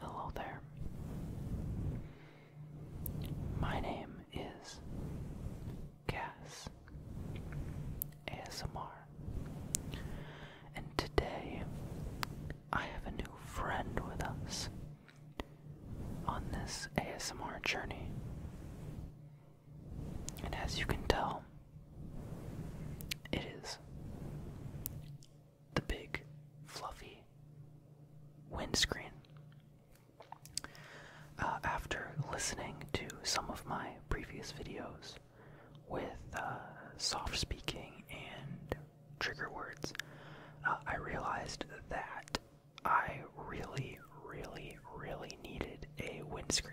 Hello there. My name is Cass ASMR, and today I have a new friend with us on this ASMR journey. And as you can tell, it is the big, fluffy windscreen. Uh, after listening to some of my previous videos with uh, soft speaking and trigger words, uh, I realized that I really, really, really needed a windscreen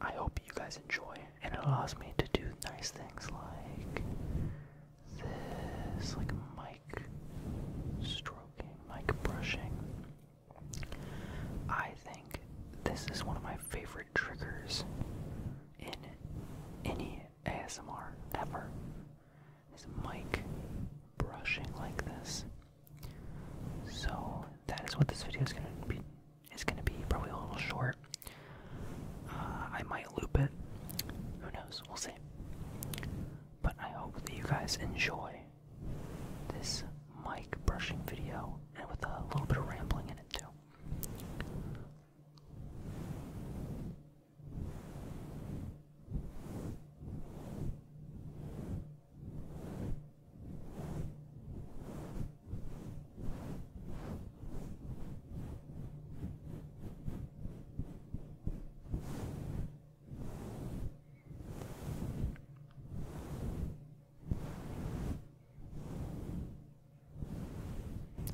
I hope you guys enjoy, and it allows me to do nice things like this, like mic stroking, mic brushing. I think this is one of my favorite triggers in any ASMR ever. Is mic brushing like this. So that is what this video is going to be it's going to be probably a little short. Uh, I might loop it. Who knows? We'll see. But I hope that you guys enjoy this mic brushing video and with a little bit of rambling in it too.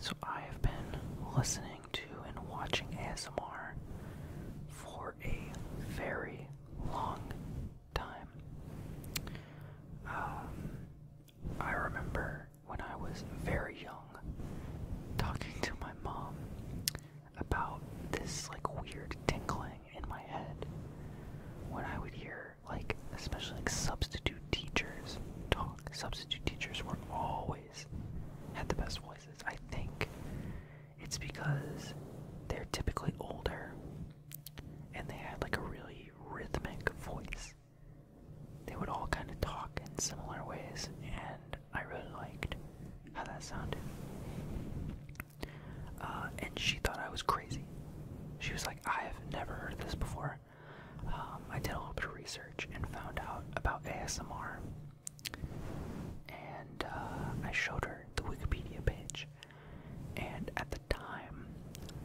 So, I have been listening to and watching ASMR for a very long time. Um, I remember when I was very young talking to my mom about this like weird tinkling in my head when I would hear like especially like substitute teachers talk. Substitute teachers were always had the best voices. I think it's because they're typically older and they had like a really rhythmic voice. They would all kind of talk in similar ways, and I really liked how that sounded. Uh, and she thought I was crazy. She was like, I have never heard this before. Um, I did a little bit of research and found out about ASMR. And uh, I showed her the Wikipedia page and at the time,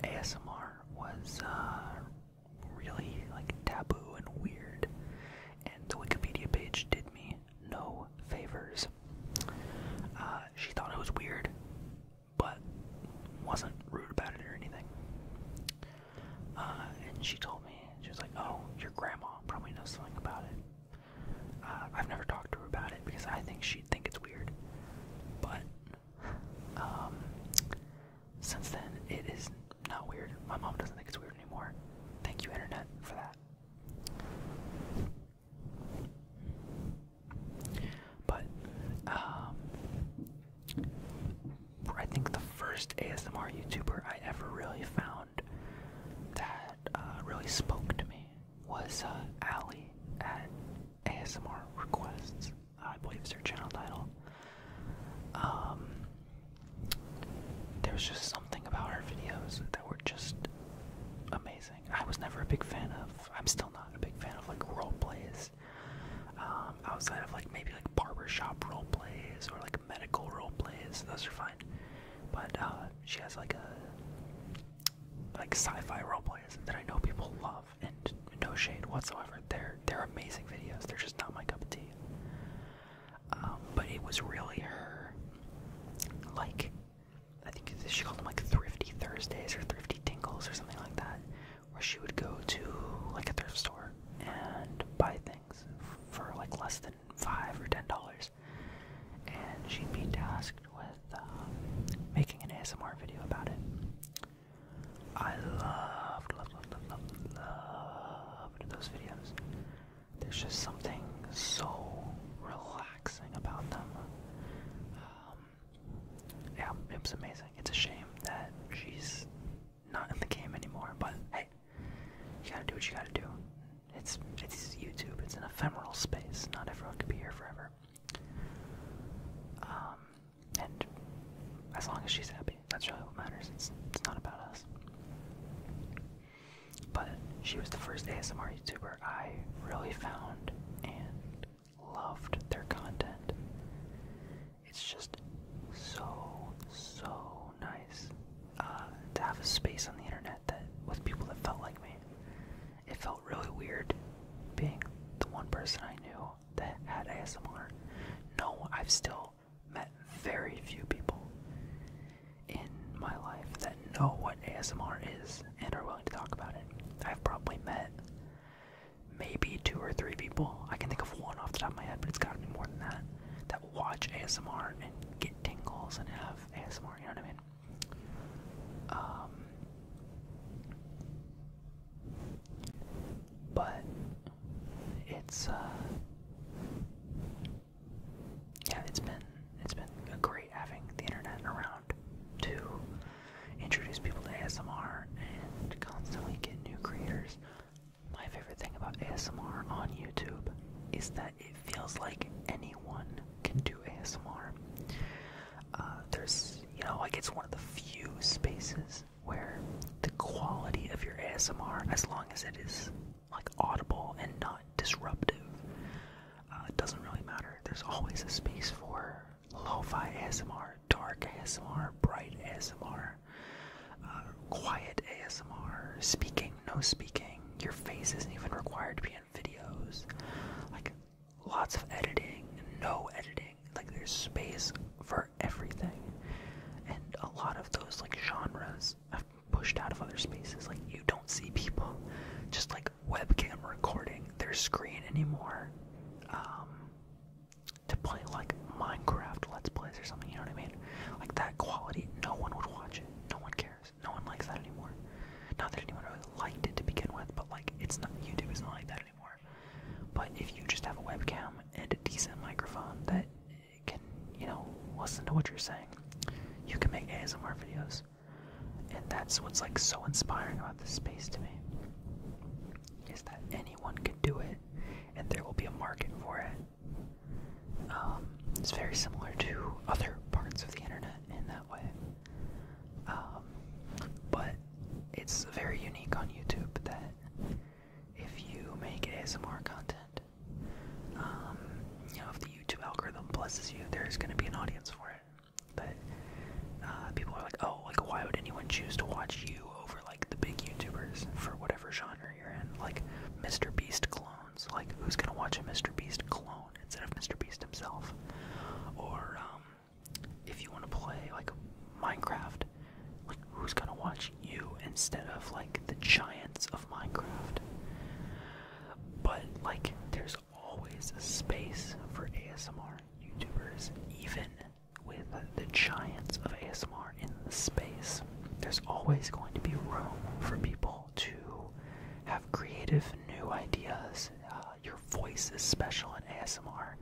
ASMR was uh, really like taboo and weird, and the Wikipedia page did me no favors. Uh, she thought it was weird, but wasn't rude about it or anything. Uh, and she told me, she was like, oh, your grandma probably knows something about it. Uh, I've never talked to her about it because I think she'd think it's weird. But um, since then, it is not weird. My mom doesn't think it's weird anymore. Thank you, internet, for that. But um, I think the first ASMR YouTuber I ever really found that uh, really spoke to me was uh, at ASMR Requests. I believe is her channel title. Um, there was just something about her videos that were just amazing. I was never a big fan of. I'm still not a big fan of like role plays. Um, outside of like maybe like barbershop role plays or like medical role plays, those are fine. But uh, she has like a like sci-fi role plays that I know people love, and no shade whatsoever. They're they're amazing videos. They're just not my cup of tea. Um, but it was really her, like I think she called them like Thrifty Thursdays or Thrifty Tingles or something like that, where she would go to like a thrift store and buy things for like less than five or ten dollars and she'd be tasked with um, making an ASMR video about it. I love loved, loved, loved, loved, those videos. There's just something so relaxing about them. Um, yeah, it was amazing. It's a shame that she's not in the game anymore, but hey, you gotta do what you gotta do. It's it's YouTube. It's an ephemeral space. Not everyone can be here forever. Um, and as long as she's happy, that's really what matters. It's it's not about us. But she was the first ASMR YouTuber I really found and loved their content. It's just so so nice uh, to have a space on the internet that with people that felt like me it felt really weird being the one person I knew that had ASMR. No, I've still met very few people in my life that know what ASMR is and are willing to talk about it. I've probably met maybe two or three people. I can think of one off the top of my head, but it's gotta be more than that. That watch ASMR and get tingles and have ASMR, you know what I mean? Um, but it's uh, yeah, it's been it's been great having the internet around to introduce people to ASMR and constantly get new creators. My favorite thing about ASMR on YouTube is that it feels like anyone can do ASMR. Uh, there's, you know, like it's one of the few spaces where the quality of your ASMR, as long as it is like audible and not disruptive, uh, doesn't really matter. There's always a space for lo-fi ASMR, dark ASMR, bright ASMR, uh, quiet ASMR, speaking no speaking. Your face isn't even required to be in videos. Like lots of editing, no editing. Like there's space for everything. And a lot of those like genres have pushed out of other spaces. Like you don't see people just like webcam recording their screen anymore. Um to play like Minecraft Let's Plays or something, you know what I mean? Like that quality, no one would watch it. No one cares. No one likes that anymore. Not that anyone really liked it to begin with, but like it's not YouTube is not like that anymore. But if you just have a webcam and a decent microphone that can, you know, listen to what you're saying, you can make ASMR videos. And that's what's like so inspiring about this space to me. Is that anyone can do it and there will be a market for it. Um, it's very similar to other parts of the internet in that way. Um, but it's very unique on YouTube that if you make ASMR content, um, you know, if the YouTube algorithm blesses you, there's going to be an audience for it. But uh, people are like, oh, like, why would anyone choose to watch you over like the big YouTubers for whatever genre you're in? Like, Mr. Beast clone like, who's gonna watch a Mr. Beast clone instead of Mr. Beast himself? Or, um, if you want to play, like, Minecraft, like, who's gonna watch you instead of, like, the giants of Minecraft? But, like, there's always a space for ASMR YouTubers, even with the giants of ASMR in the space, there's always going to be room for people to have creative new ideas. Uh, your voice is special in ASMR.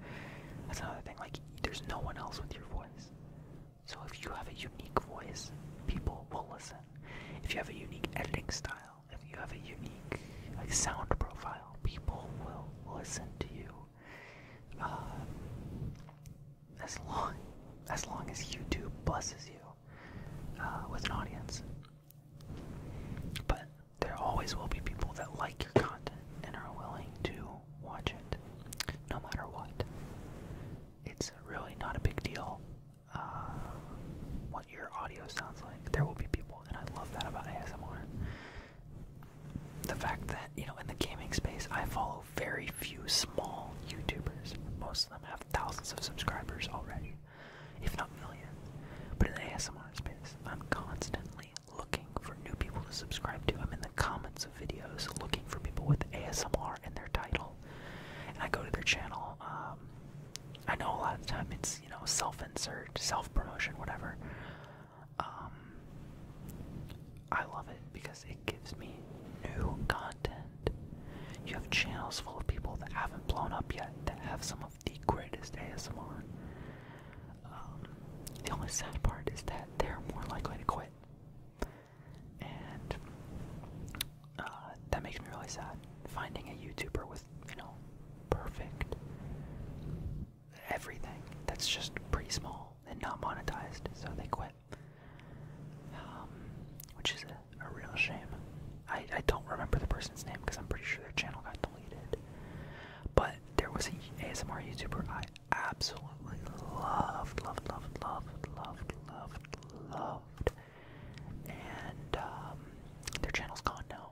That's another thing, like, there's no one else with your voice. So if you have a unique voice, people will listen. If you have a unique editing style, if you have a unique like sound profile, people will listen to you. Uh, as long as YouTube blesses you uh, with an audience. But there always will be people that like your content and are willing to watch it, no matter what. It's really not a big deal uh, what your audio sounds like. There will be people, and I love that about ASMR. The fact that you know, in the gaming space, I follow very few small YouTubers. Most of them have thousands of subscribers already, if not millions. But in the ASMR space, I'm constantly looking for new people to subscribe to. I'm in the comments of videos looking for people with ASMR in their title. And I go to their channel. Um, I know a lot of the time it's, you know, self insert, self promotion, whatever. Um, I love it because it gives me new content. You have channels full of people that haven't blown up yet that have some of the greatest ASMR. Um, the only sad part is that they're more likely to quit. And uh, that makes me really sad. Finding a YouTuber with, you know, perfect everything that's just pretty small and not monetized, so they quit. Um, which is a, real shame. I, I don't remember the person's name because I'm pretty sure their channel got deleted. But there was an ASMR YouTuber I absolutely loved, loved, loved, loved, loved, loved, loved. And um, their channel's gone now,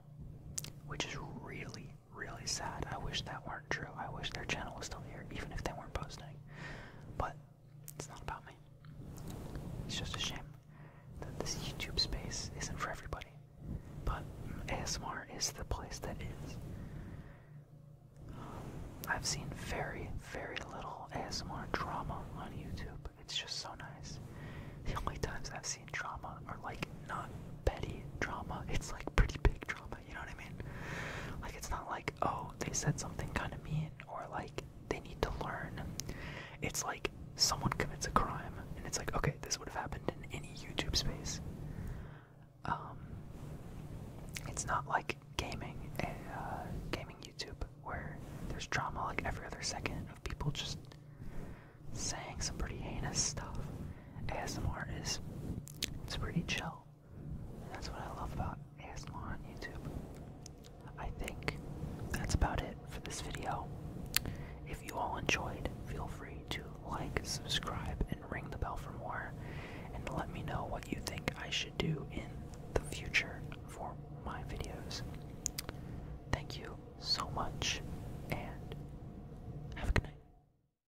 which is really, really sad. I wish that weren't true. I wish their channel was still here, even if they weren't posting. But it's not about me. It's just a shame that this YouTube space isn't for everybody. But ASMR is the place that is. I've seen very, very little ASMR drama on YouTube. It's just so nice. The only times I've seen drama are like not petty drama, it's like pretty big drama. You know what I mean? Like it's not like, oh, they said something kind of mean or like they need to learn. It's like someone commits a crime and it's like, okay, this would have happened in any YouTube space. Um, it's not like gaming, uh, gaming YouTube, where there's drama like every other second of people just saying some pretty heinous stuff. ASMR is, it's pretty chill that's what I love about ASMR on YouTube. I think that's about it for this video. If you all enjoyed, feel free to like, subscribe, and ring the bell for more. And let me know what you think I should do in the future for my videos. Thank you so much, and have a good night.